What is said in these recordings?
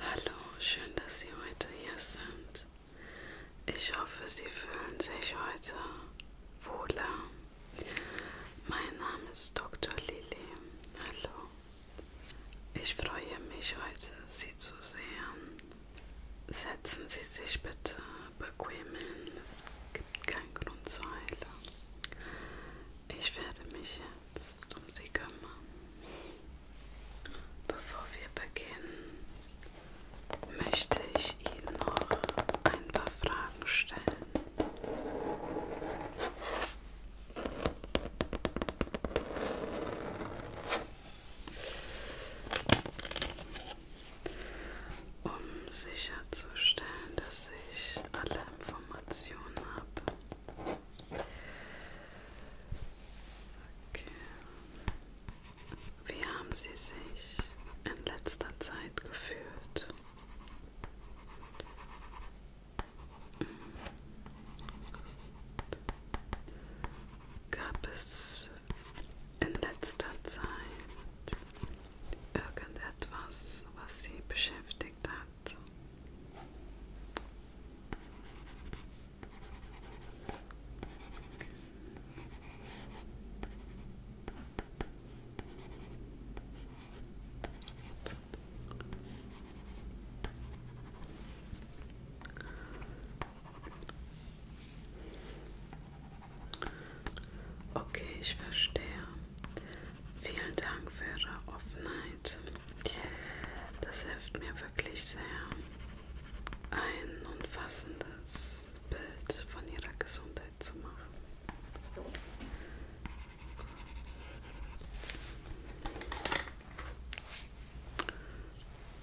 Hallo, schön, dass Sie heute hier sind. Ich hoffe, Sie fühlen sich heute wohler. Mein Name ist Dr. Lili. Hallo. Ich freue mich heute, Sie zu sehen. Setzen Sie sich bitte bequem hin. Es gibt keinen Grund zur Eile. Ich werde mich jetzt um Sie kümmern. Bevor wir beginnen, möchte ich Ihnen noch ein paar Fragen stellen. Um sicherzustellen, dass ich alle Informationen habe, Okay. Wie haben Sie sich in letzter Zeit gefühlt? Gab es in letzter Zeit irgendetwas, was Sie beschäftigt hat? Okay, ich verstehe. Vielen Dank für Ihre Offenheit. Zeit. Das hilft mir wirklich sehr, ein umfassendes Bild von ihrer Gesundheit zu machen.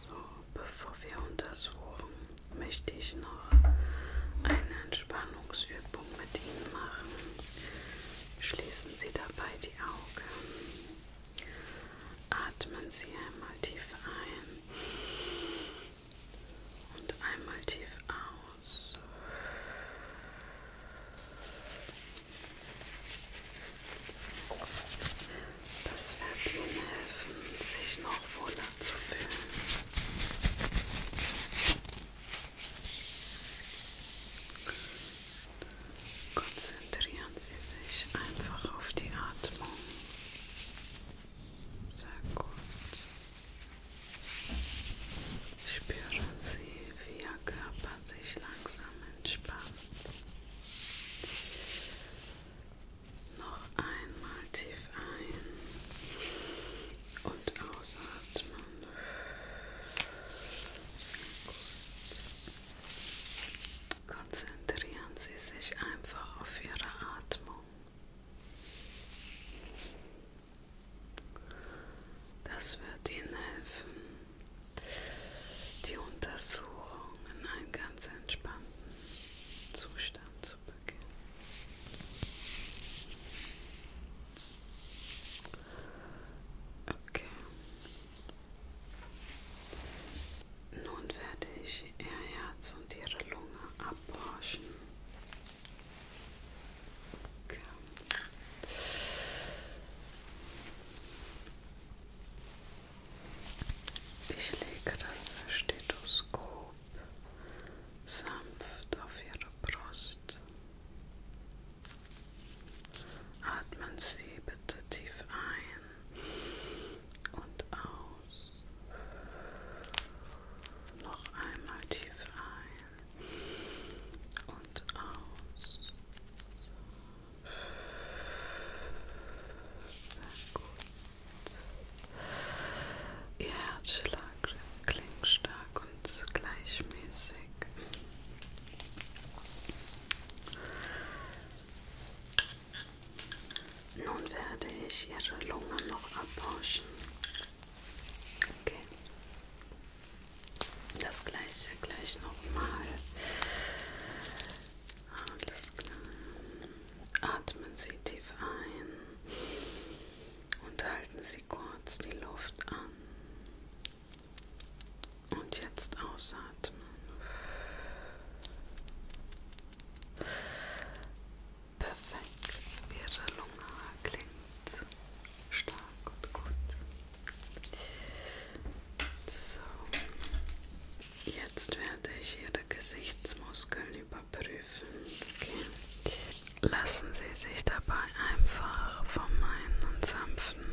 So, bevor wir untersuchen, möchte ich noch eine Entspannungsübung mit Ihnen machen. Schließen Sie dabei die Augen Atmen Sie einmal tief ein und einmal tief aus. Das wird Ihnen helfen, sich noch wohler zu fühlen. Konzentrieren Sie sich einfach auf die Atmung. Sehr gut. Spüren Sie, wie Ihr Körper sich langsam entspannt. Noch einmal tief ein und ausatmen. Konzentrieren Sie sich einfach auf Ihre Atmung. Das wird Ihnen helfen, die Untersuchung in einen ganz entspannten Zustand zu beginnen. Okay. Nun werde ich ihr Herz und ihre Lunge abhorchen. Okay. Ich lege das Stethoskop sanft auf ihre Brust. Atmen Sie bitte tief ein und aus. Noch einmal tief ein und aus. Sehr gut. Ihr Herzschlag klingt stark ganz gleichmäßig. Nun werde ich Ihre Lunge noch abwaschen. Okay. Das gleiche gleich nochmal. Alles klar. Atmen Sie tief ein und halten Sie kurz die Luft an. Und jetzt ausatmen. Perfekt. Ihre Lunge klingt stark und gut. So. Jetzt werde ich Ihre Gesichtsmuskeln überprüfen. Okay. Lassen Sie sich dabei mal einfach von meinen sanften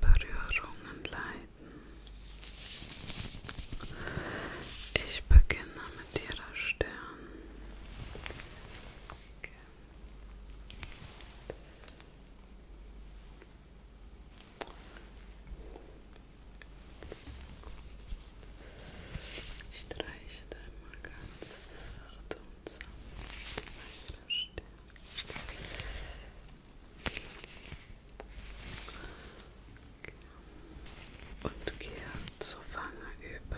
Berührungen leiten. Ich beginne mit ihrer Stirn. Okay. Ich streiche einmal ganz sacht und sanft über ihre Stirn. Und gehe zur Wange über.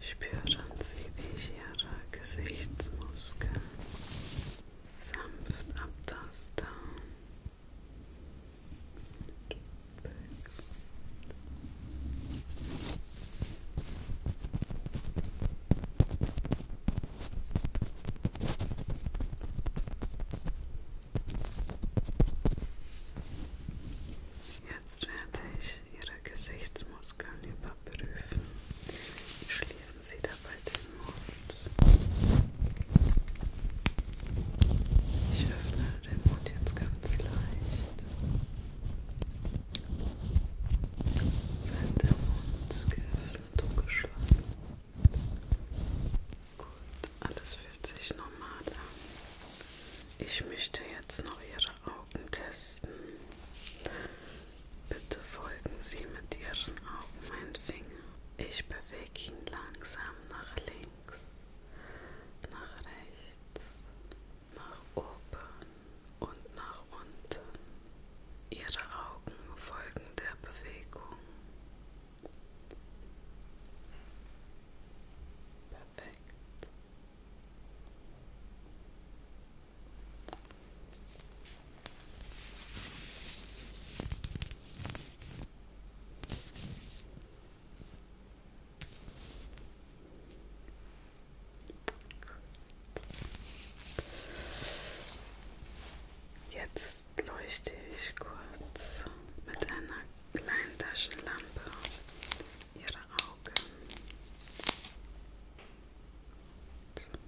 Spüren Sie, wie ich Ihre Gesichtsmuskeln sanft abtaste. Jetzt werde ich Ihre Gesichtsmuskeln überprüfen. Schließen Sie dabei den Mund. Ich öffne den Mund jetzt ganz leicht. Wenn der Mund geöffnet und geschlossen. Gut, alles fühlt sich normal an. Ich möchte jetzt noch Ihre Augen testen. Bitte folgen Sie mit Ihren Augen meinen Finger. Ich bewege ihn langsam nach links links, nach rechts, nach oben und nach unten. Ihre Augen folgen der Bewegung. Perfekt. Jetzt leuchte ich kurz mit einer kleinen Taschenlampe ihre Augen. Gut.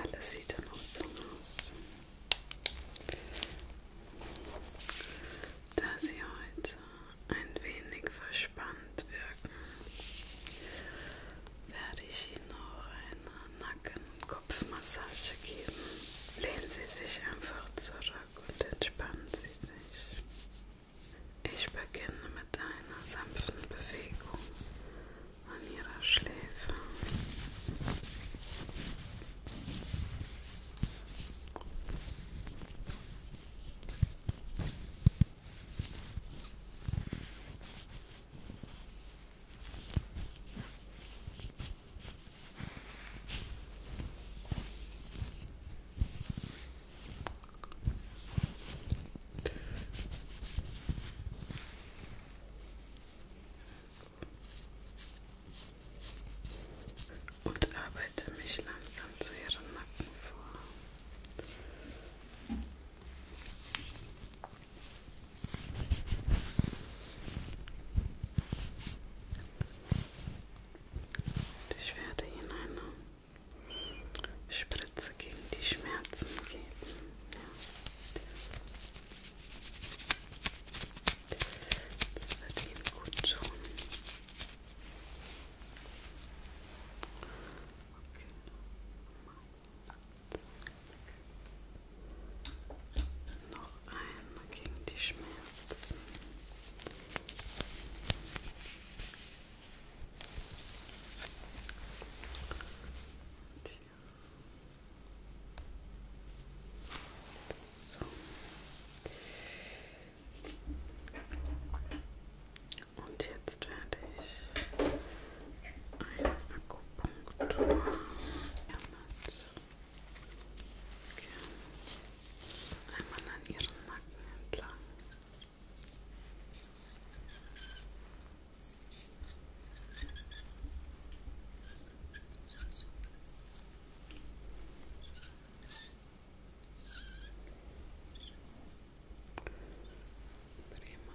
Alles sieht in Ordnung aus. Da sie heute ein wenig verspannt wirken, werde ich Ihnen noch eine Nacken Kopfmassage geben. Lehnen Sie sich einfach zurück und entspannen Sie sich. Ich beginne mit einer sanften Bewegung an Ihrer Schläfe. Und arbeite mich langsam zu ihrem Nacken vor. Und ich werde Ihnen eine ne? Spritze gegen die Schmerzen geben. Ja. Das wird Ihnen gut tun. Okay. Noch einmal gegen die Schmerzen. Und hier. So. Und jetzt werde ich ein Akupunktur. Ja, okay. Einmal an ihren Nacken entlang. Prima.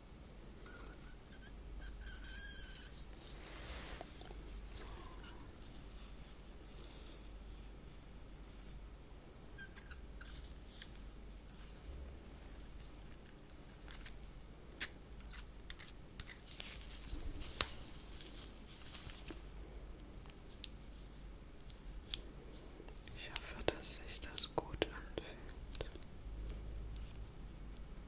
Ich hoffe, dass sich das gut anfühlt.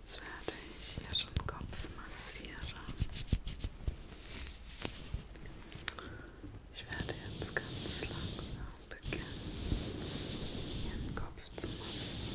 Jetzt werde ich Ihren Kopf massieren. Ich werde jetzt ganz langsam beginnen, Ihren Kopf zu massieren.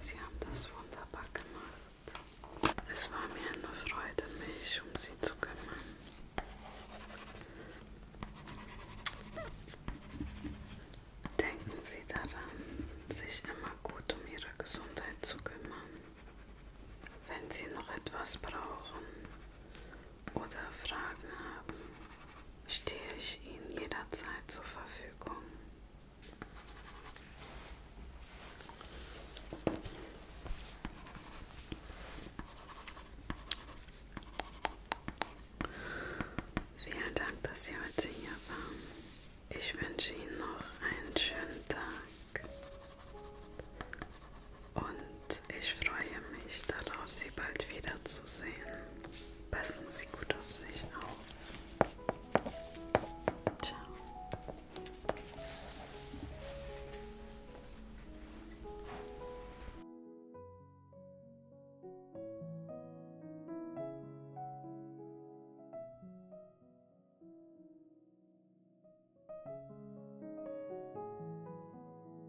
Sie haben das wunderbar gemacht. Es war mir eine Freude, mich um Sie zu kümmern. Denken Sie daran, sich immer gut um Ihre Gesundheit zu kümmern. Wenn Sie noch etwas brauchen, oder Fragen haben, stehe ich Ihnen jederzeit zur Verfügung. Vielen Dank, dass Sie heute hier waren. Ich wünsche Ihnen noch einen schönen Tag und und ich freue mich darauf, Sie bald wiederzusehen. Passen Sie gut auf sich auf. Ciao.